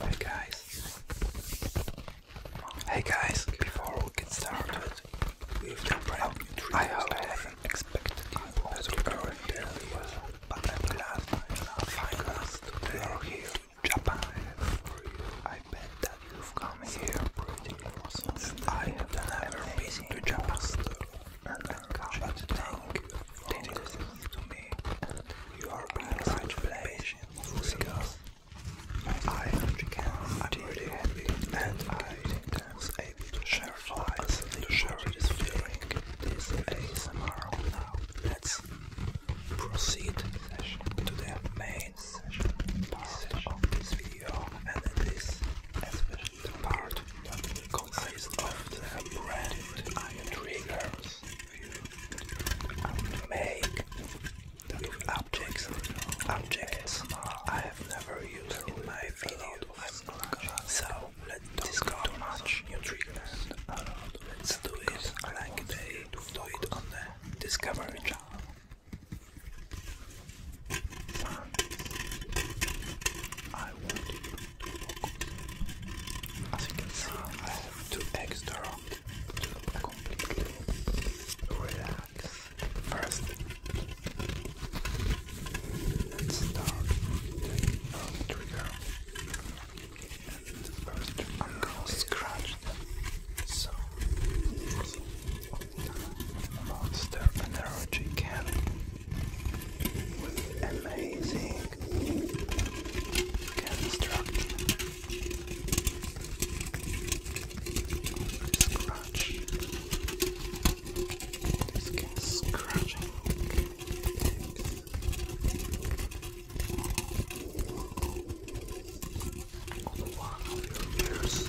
Hey guys, hey guys, before we get started, we've done oh, I haven't expected you all to earn their leave, but I'm glad, finally, you are here in Japan. I bet that you've come here pretty I have done been to Japan and I can't think things to me you are in the right place because I am really happy and I was able to share flights and to share this feeling this ASMR now let's proceed to the main session of this video and this especially the part that consists of the brand triggers you make with objects, objects I have never used in my video, so let's discover new triggers. Let's do it like they do it on the Discovery channel. I want As you can see, I have to extract to completely relax. First, let's start first i I'm gonna scratch So. Monster Energy can with amazing construction. scratching. On one of your ears.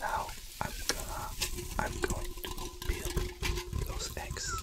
Now I'm gonna I'm going to build those eggs.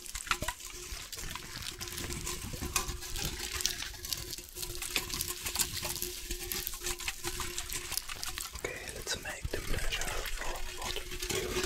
Okay, let's make the pleasure for what you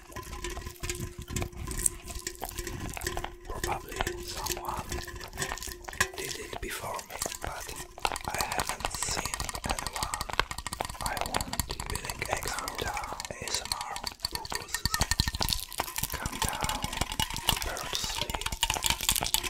Probably someone did it before me, but I haven't seen anyone. I want building expert ASMR purposes. Come down, prepare sleep. Okay.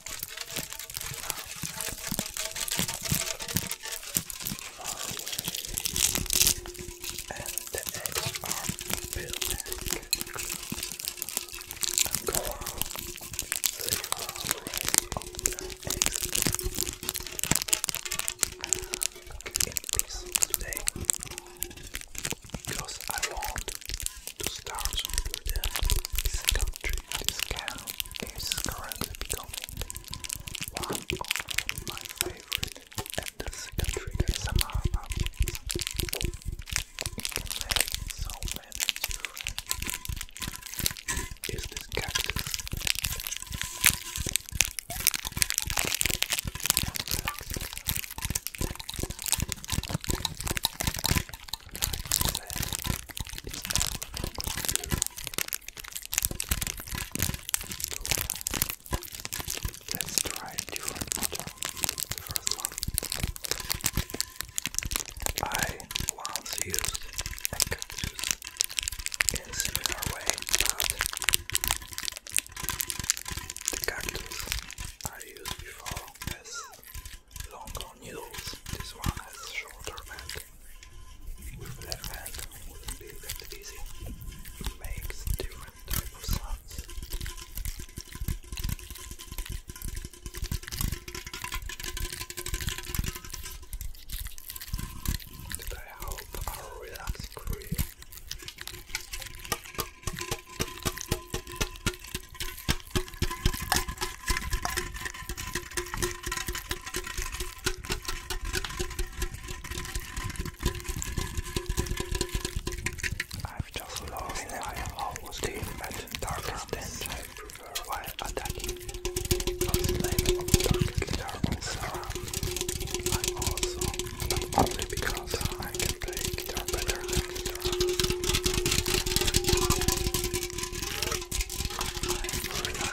far away, and the eggs are go on. They In peace today, because I want to start with the second tree this cow currently becoming one of my favorite and the second tree that somehow happens. so many is this cactus. Let's try different water. The first one. I once used a cactus in similar way, but the cactus I used before is longer more This one has shorter band. With black band wouldn't be that easy. makes different type of sounds. That I hope are relaxing for I've just lost my whole team at darkest end. I prefer while attacking. Those level of darkest darkness around. I'm also not only because I can play guitar better than guitar. I'm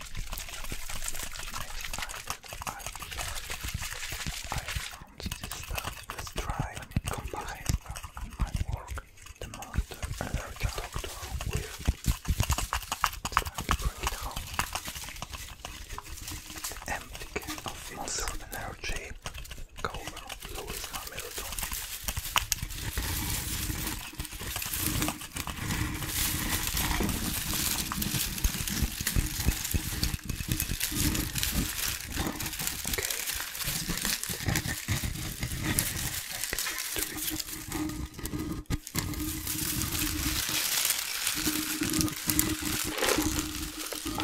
I I found this stuff, this dry combined stuff in my work the most allergic doctor with so I bring it home. The empty can of monster I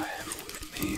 have with me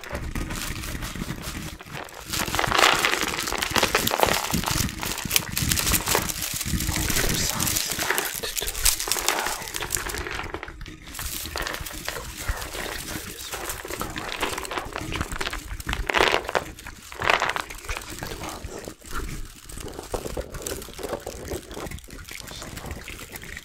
Your sounds hard to pull out compared to the previous one. Correctly, at once. Sometimes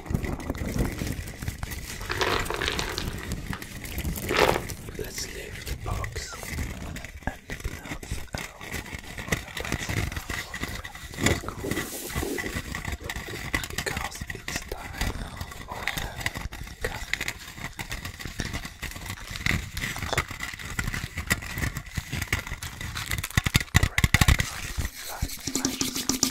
Let's leave the box and the peanuts out on the because it's time for the coffee. Right back, right, right.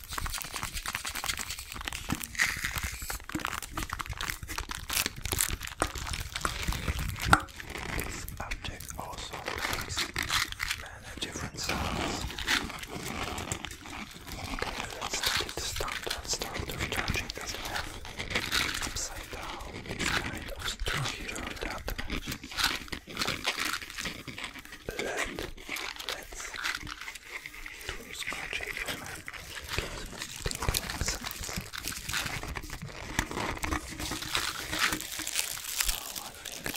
This object also makes many different sounds. Okay, let's take charging that upside down. It's kind of stronger that land. Let's do scratching for my tingling sounds. So I think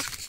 I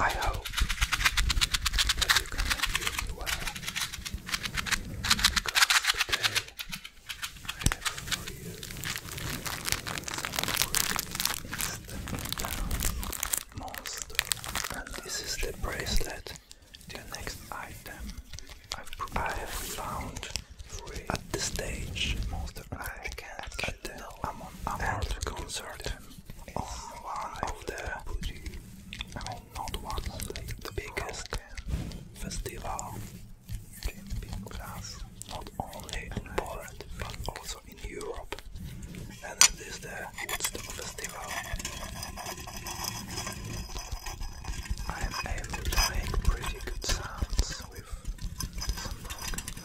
I hope that you can hear me well because today I have for you some instant monster. And this is the bracelet, the next item I have found at the stage. Monster I can't, I can I'm on, a concert on one of the, I mean not one, the biggest festival in class, not only in Poland but also in Europe, and it is the Woodstock Festival. I am able to make pretty good sounds with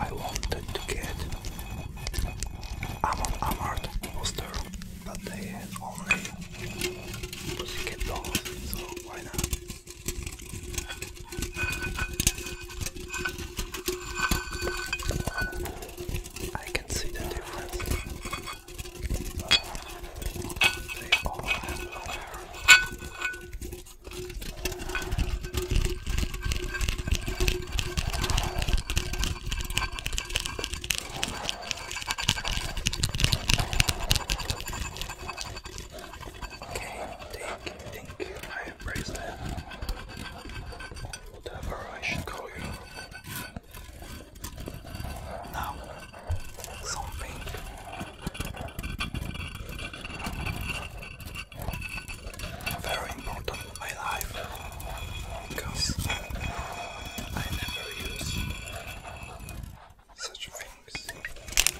I wanted to get Amon Amart poster, but they had only Pussycat dolls, so why not? I can see the difference. They all have long hair. Okay, take, think, higher praise that. Whatever I should call you. Now, something. Very important in my life because I never use such things.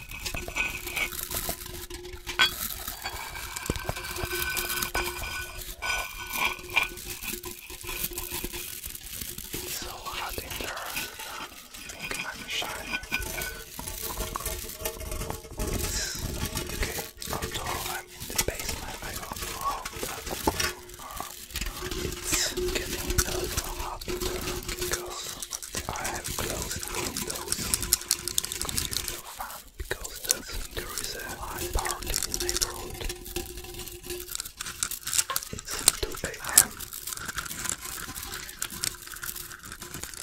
It's so hot in there. I think I'm shy. It's okay. After all, I'm in the basement. I don't know how that. It's getting a little hot in there because. I have closed windows computer fan because there is a high party in the neighborhood. It's 2 a.m.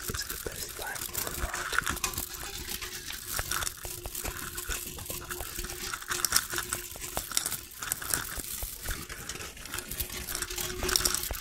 It's the best time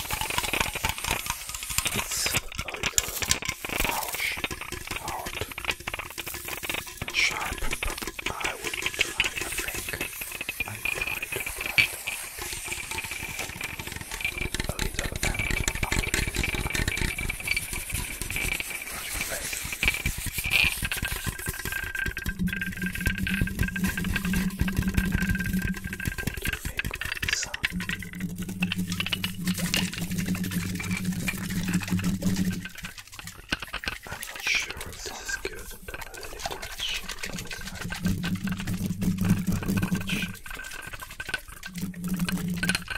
It's a harsh, hard, and sharp, but I will try to think. I try to think. A little and Right. What do you think, son? I'm not sure if this is good. I'm a little bit shaken. I'm a little bit shaken. Relax.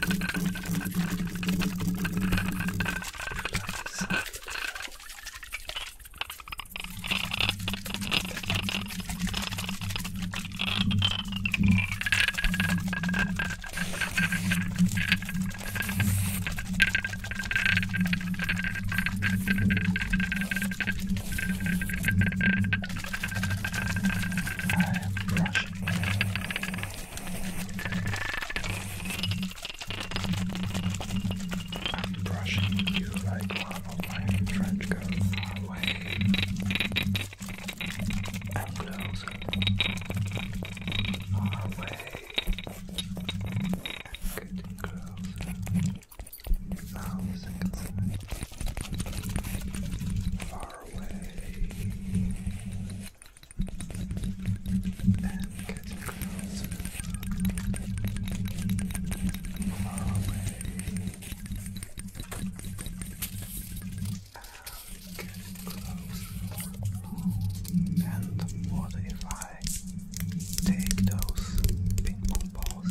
I'm brushing you like Iron French go far away and closer, far away and getting closer. Now away and getting closer, far away. And what if I take those ping pong balls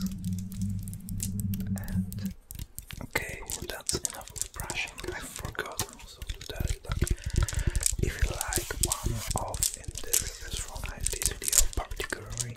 and Okay, that's enough brushing. I forgot also to tell you that if you like one of in this, this from this video particularly,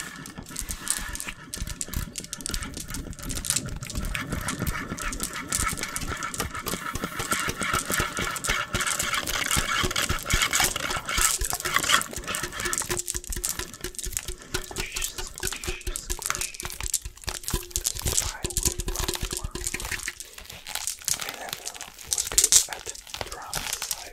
I never was good at drums. I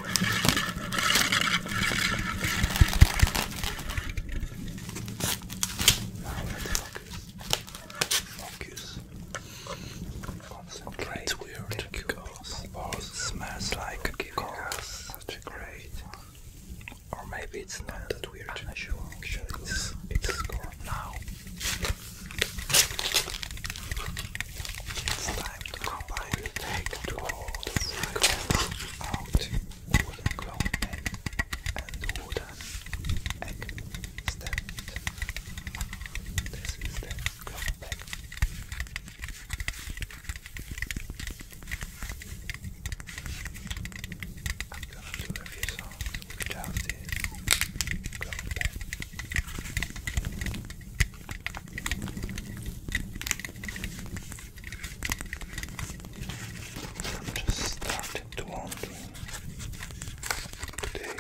Concentrate. It's weird it smells like cars. Such a great. Or maybe it's not that weird. I'm not sure. now. It's time to combine and take to all out wooden clown egg and wooden egg stand. This is the clown egg. I'm gonna do without this clown egg. I'm just starting to wondering today.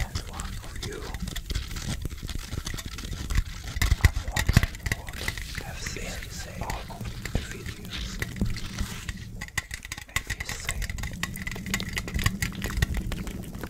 And one of you, have seen the same all Maybe same.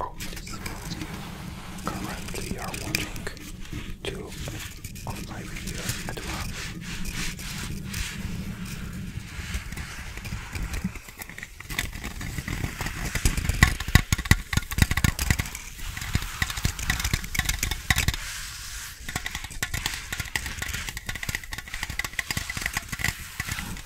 Oh, Currently, you are watching two of my videos at once.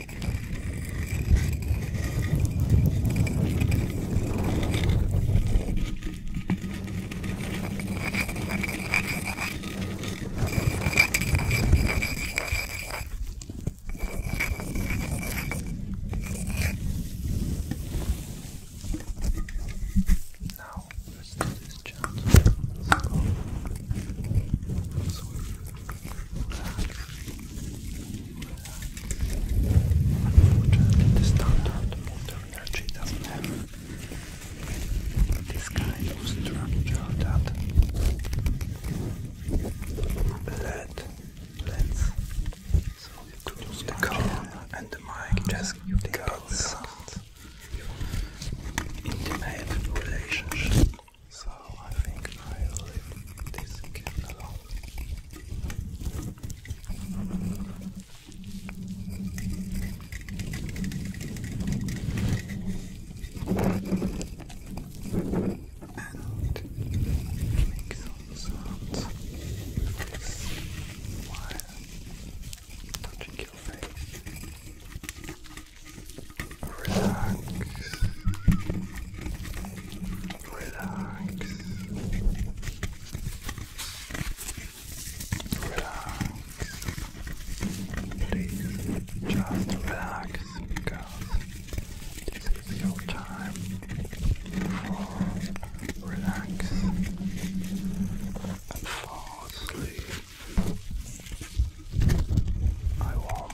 Now, let's do this chance. So, Unfortunately, the standard motor energy doesn't have this kind of structure that LED lens. So you could the car and the mic just got sound intimate relationship. I think I'll leave this kitten alone and make some sounds this while touching your face. Relax. Relax. Relax. Please just relax because this is your time for relax and fall asleep. I want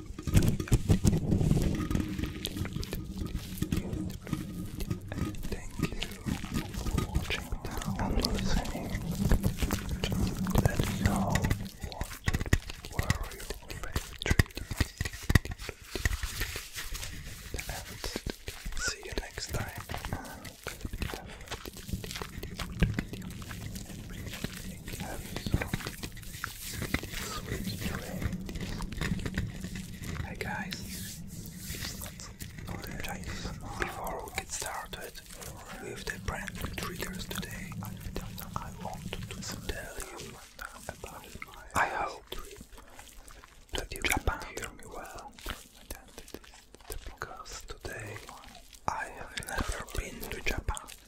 thank you for watching and listening. let me know what were your favorite treats. And see you next time think guys, before we get started with the brand new triggers today, I want to tell you about I hope that you hear me well. Because today I have never been to Japan.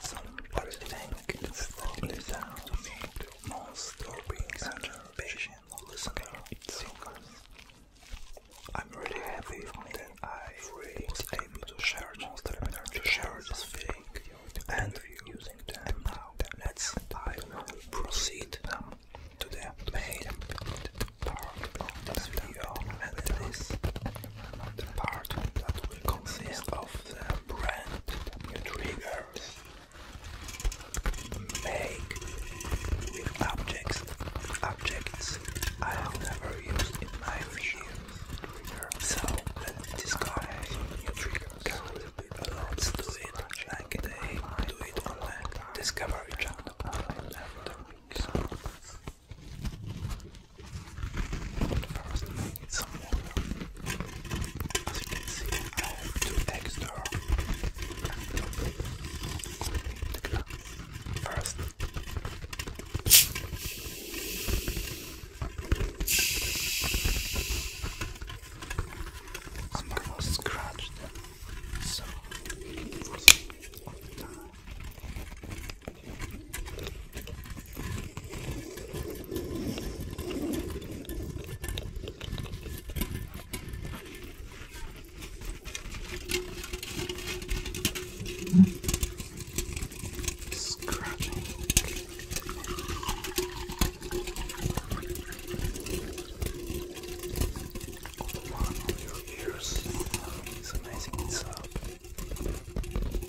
Solitary tank in the house. Monster being such a patient listener. Singer. I'm really happy that I really was able to share monster energy, to share this feeling and using them now. Let's I will proceed now to the main part of this video and it is the part that will consist of the brand new triggers make with objects objects I have never used in my videos. So let's discuss new triggers. There will be it, like they do it on the Discovery Channel. I never First, I need some water. As you can see, I have two eggs there. First, I'm gonna scratch them so it will all the time. Scratching. All the bottom of your ears. It's amazing. It's up. Uh,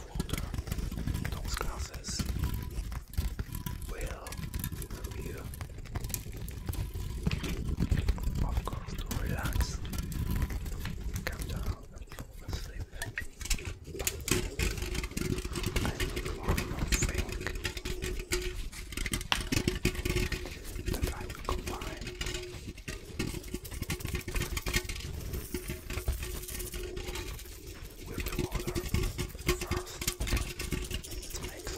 of water. Those glasses will help you, of course, to relax, calm down, and fall asleep. But I one more thing that I will combine with the water first to make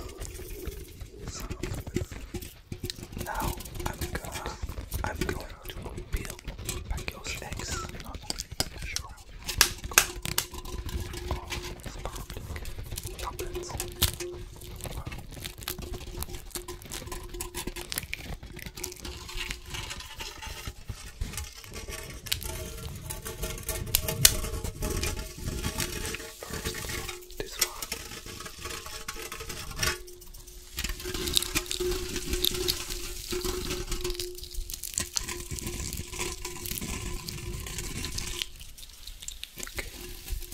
sound. Now I'm going I'm going to peel Pacquiao's eggs. not really sure of toppings. First, this one. Okay,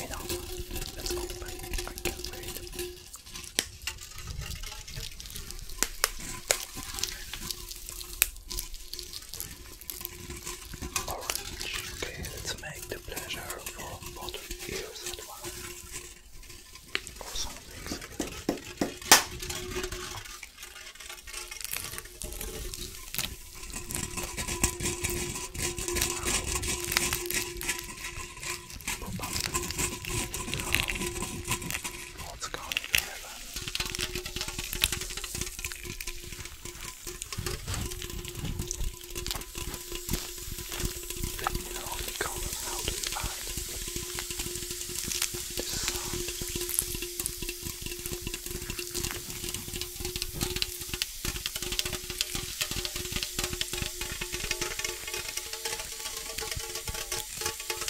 enough. Let's open. I can't wait. Orange. Okay, let's make the pleasure for both ears at once. Or something similar. Pop up. Oh what's going on Let me know in how do you this sound. Thank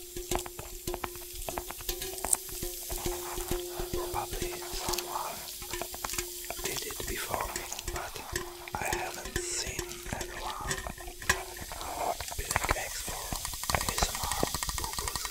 Probably someone did it before me, but I haven't seen anyone being X for ASMR purposes.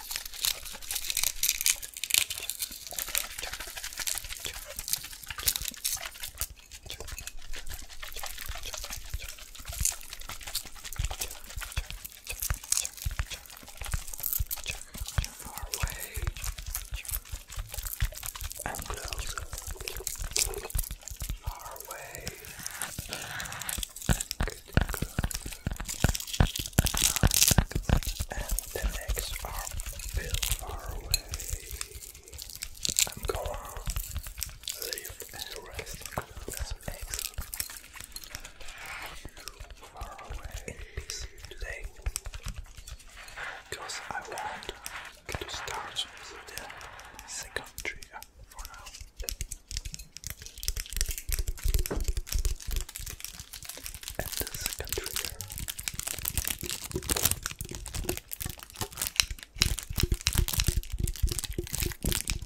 far away and close far away and the legs are still far away. I'm going to leave and rest the legs far away in peace today. Because I want to start with the second trigger for now. And the second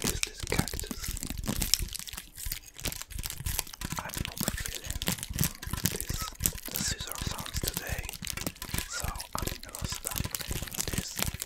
Is this cactus? I'm not feeling this scissor sounds today, so I'm gonna start this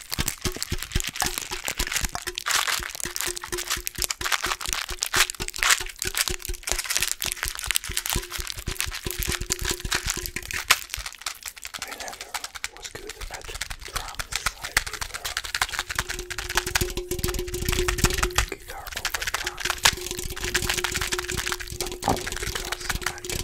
I never was good at drums. I prefer guitar over drums, but only because I can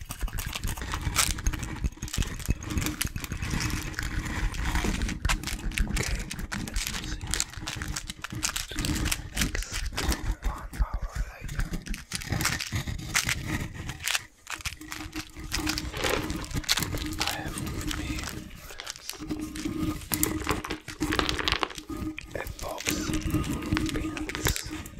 Okay, let's proceed to the next one hour later. I have with me relax, a box of peanuts.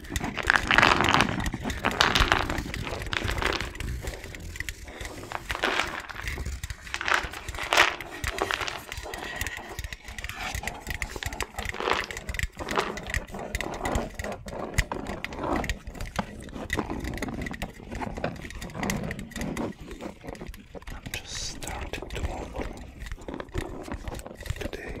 I'm just starting to wonder today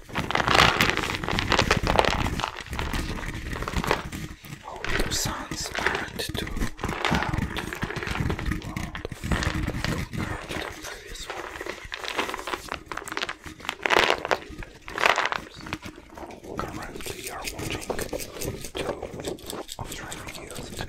Oh, sons sounds aren't too loud for you to out the previous Currently, you are watching two of three videos at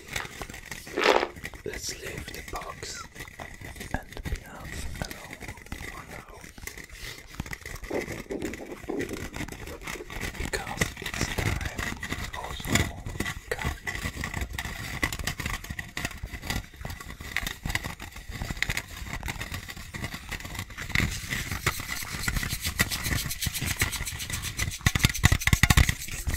Let's leave the box and the plants alone for now. Because it's time for some coffee.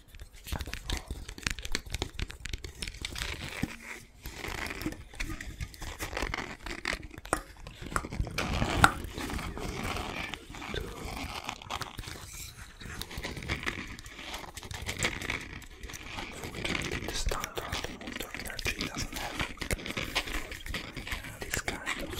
and the You standard motor energy doesn't have this kind of